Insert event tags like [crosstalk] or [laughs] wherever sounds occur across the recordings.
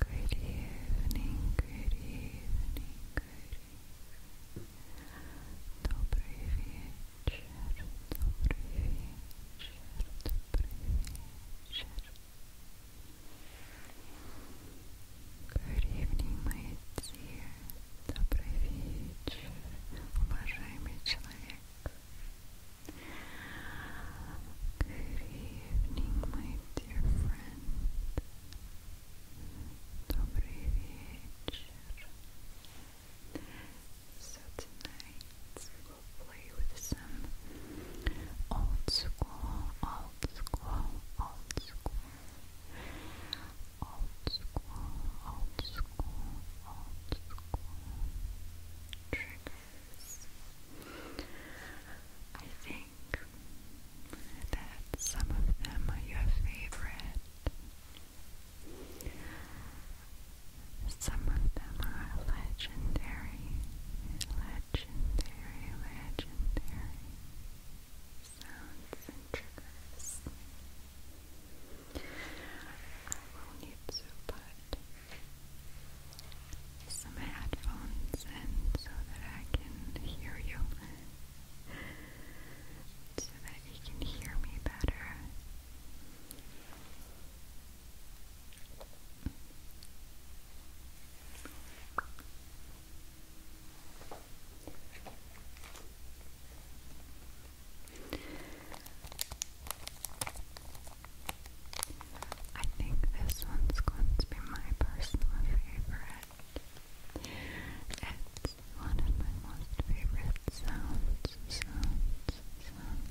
Good evening, good evening, good evening. Dobry wieczór, dobry wieczór, dobry wieczór. Good evening, мои dear. Добрый вечер, уважаемый человек. Good evening, my dear friend. Добрый вечер. So tonight play with some old school, old school, old school, old school, old school, old school triggers. I think that some of them are your favorite. Some of them are alleged legendary, legendary, legendary sounds and triggers. I will need to put some headphones in so that I can hear you, so that you can hear me better. I think this one's going to be my personal favorite. It's one of my most favorite sounds, sounds, sounds.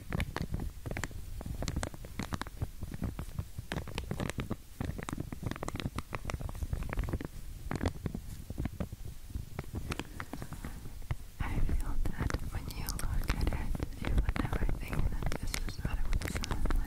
I feel that when you look at it, you would never think that this is what it would sound like.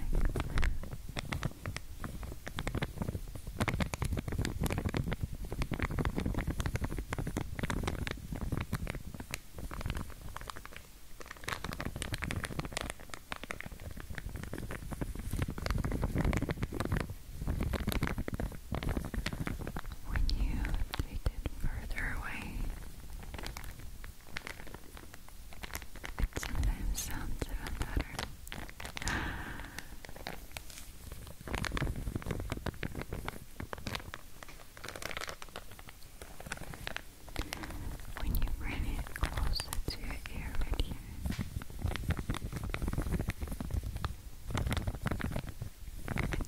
When you take it further away, it sometimes sounds even better. [gasps] [laughs] when you bring it closer to your ear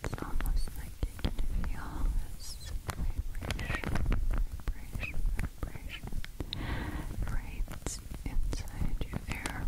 It's almost like you can feel this vibration, vibration, vibration right inside your ear.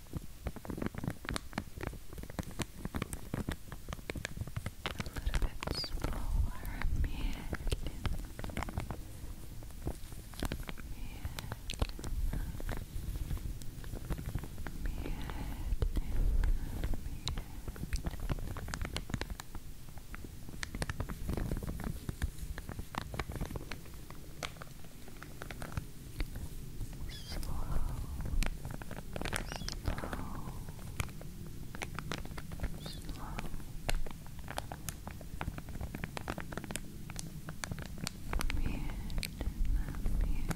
little bit smaller, Merlin. Merlin. Merlin slow, slow. Mute, mute, mute.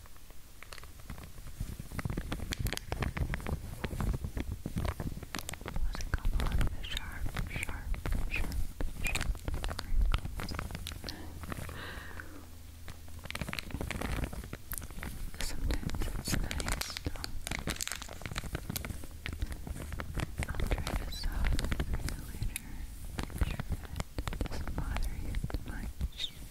There's a couple of the sharp, sharp, sharp, Sometimes it's nice though. I'll try to soften for you later. Make sure not bother you too much.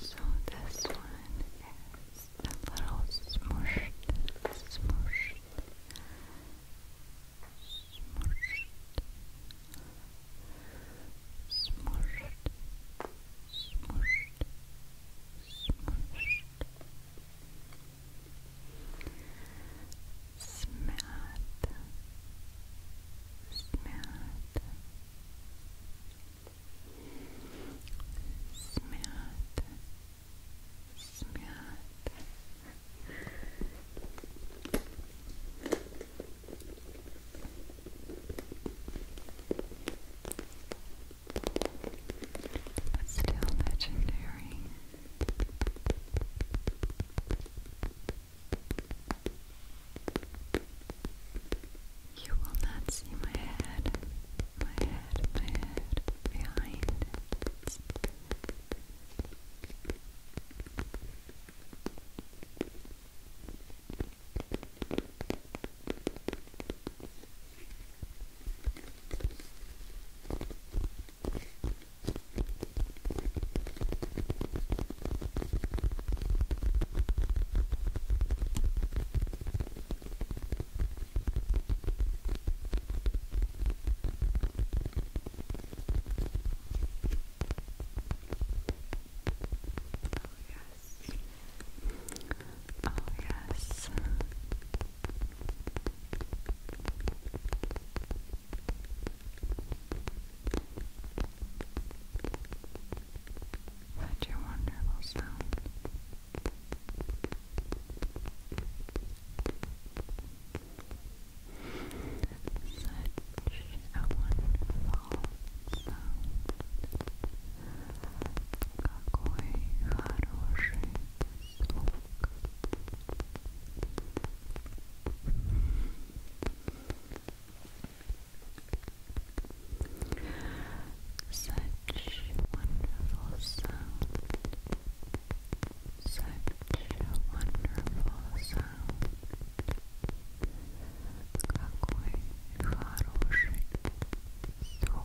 So this one is a little smushed, smushed, smushed, smushed, smushed, smushed. سمعت سمعت سمعت سمعت That's still legendary. You will not see my head, my head, my head behind Oh yes. Oh such a wonderful sound. Such a wonderful sound. Какой хороший smoke. Such wonderful sound. Such wonderful sound. Какой хороший звук.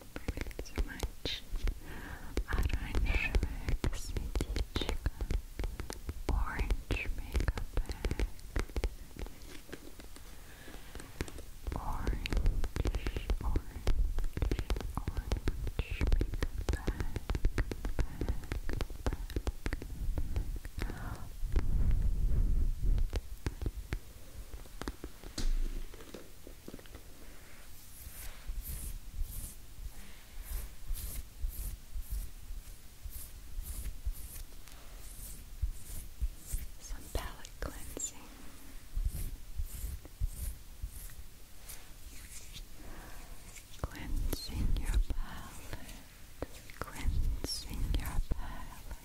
Привет, матч. Оранжевая косметичка. Orange makeup Orange, orange, orange makeup some palette cleansing. Cleansing your palate, cleansing your palate.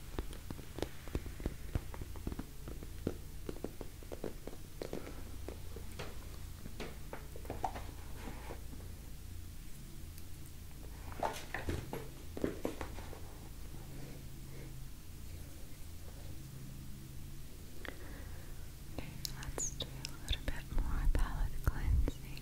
Okay, let's do a little bit more palette cleansing.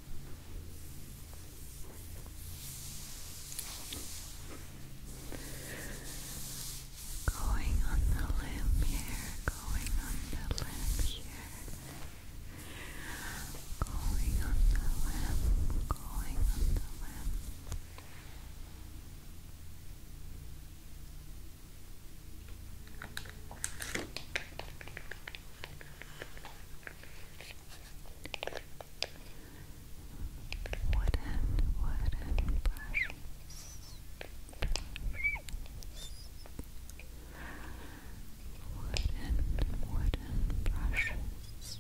Going on the limb here, going on the limb here, going on the limb, going on the limb wooden, wooden brushes. Wooden, wooden brushes, brushes.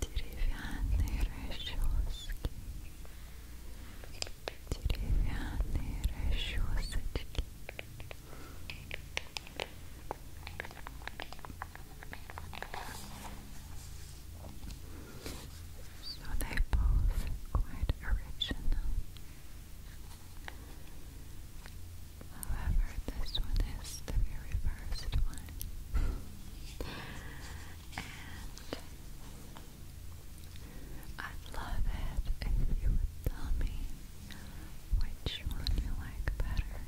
Деревянные расчески деревянные расчесочки So they both quite original. However, this one is the very first one. I'd love it if you would tell me which one you like better.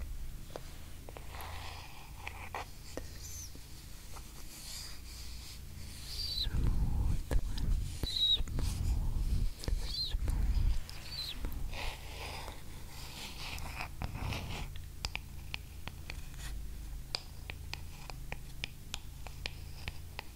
smooth one, smooth.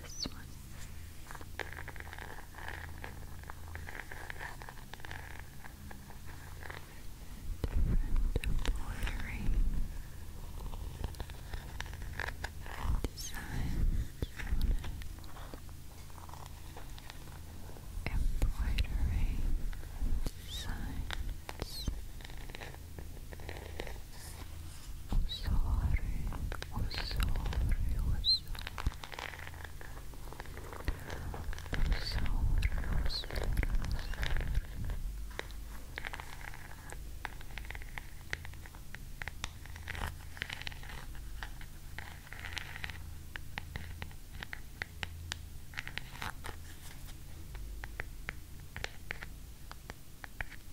This one. Different embroidery designs Embroidery designs. Oh, sorry, oh, sorry, oh, sorry. Oh, sorry, oh, sorry, oh, sorry. Sorry,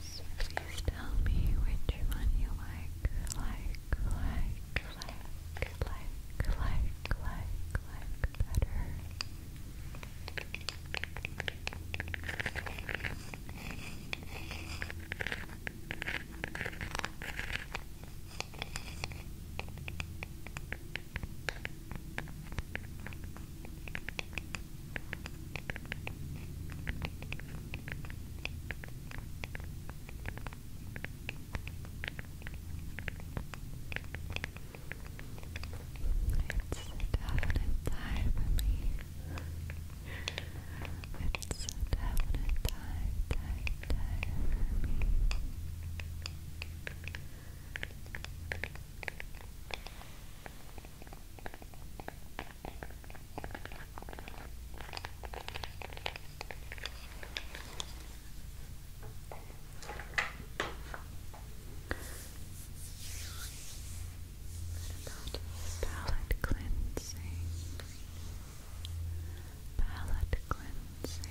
So please tell me which one you like, like, like, like, like, like, like, like better. It's definite time for me. It's a definite time, about palette cleansing? Palette cleansing.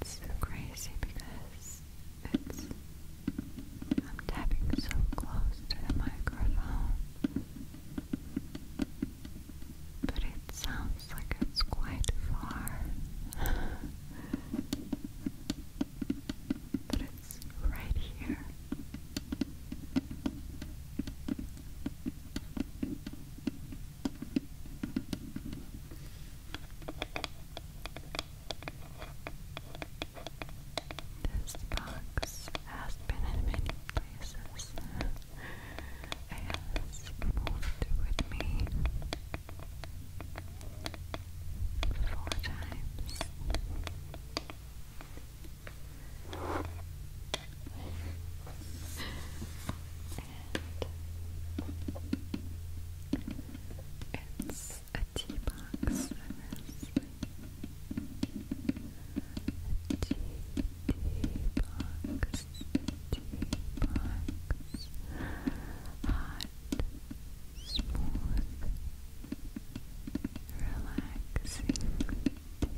It's so crazy because it's I'm tapping so close to the microphone. But it sounds like it's quite far. [laughs] but it's right here. This box has been in many places. It has moved with me four times. And it's a tea box service. Tea, tea box, tea box. Hot, smooth, relaxing box.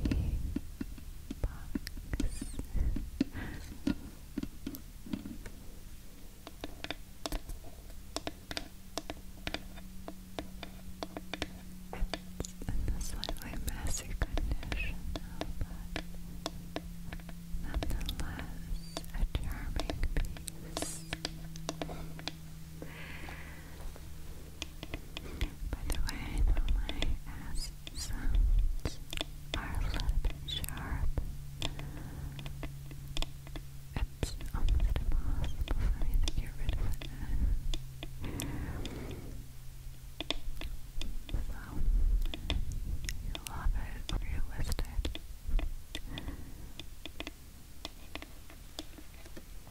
in a slightly messy condition but nonetheless a charming piece. By the way, my ass are a little bit sharp. It's almost impossible for me to get rid of it. So, you love it or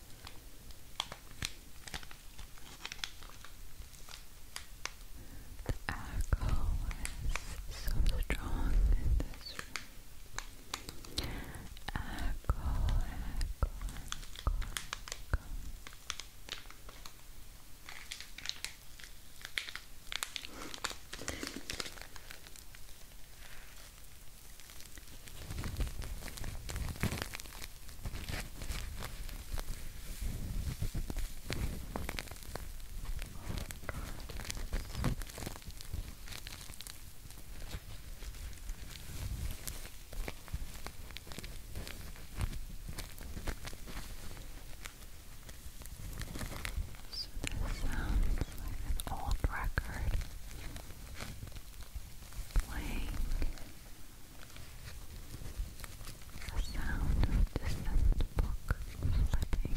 The echo is so strong in this room. Echo, echo, echo, so this sounds like an old record playing the sound of distant book flipping.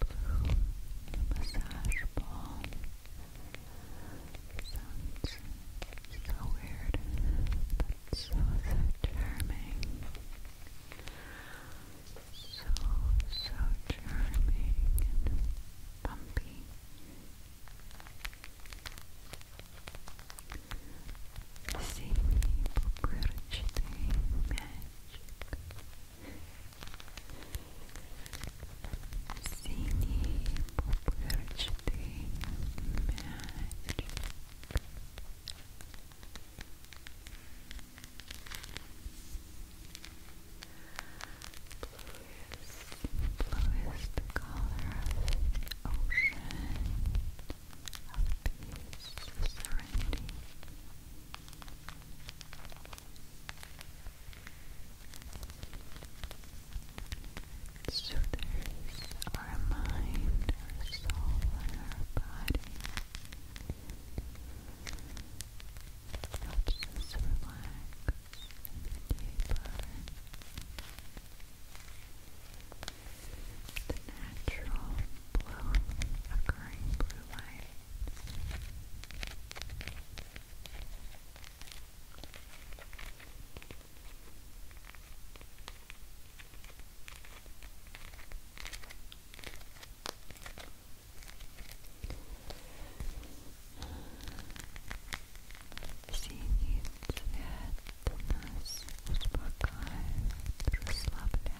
blue massage ball. Sounds so weird, but so, charming. So, so charming and bumpy. Зимний пупырочный мячик Синие пупырчатый мячик Bluest, bluest color of ocean of peace, serenity Soothers our mind, our soul, and our body. Helps us relax and be The natural blow occurring blue light Синий цвет нас успокаивает, расслабляет.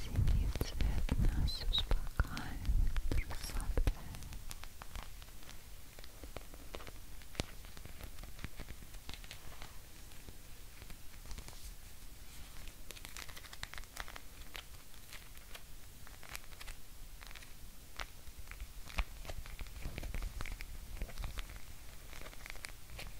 Синий цвет нас успокаивает, расслабляет. Синий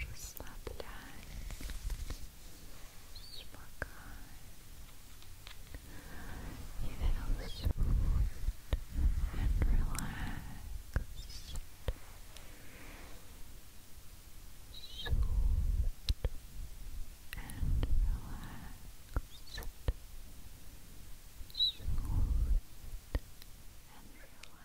Расслабляй. Spokane. smooth and relaxed. Soothed and relaxed. Soothed and relaxed.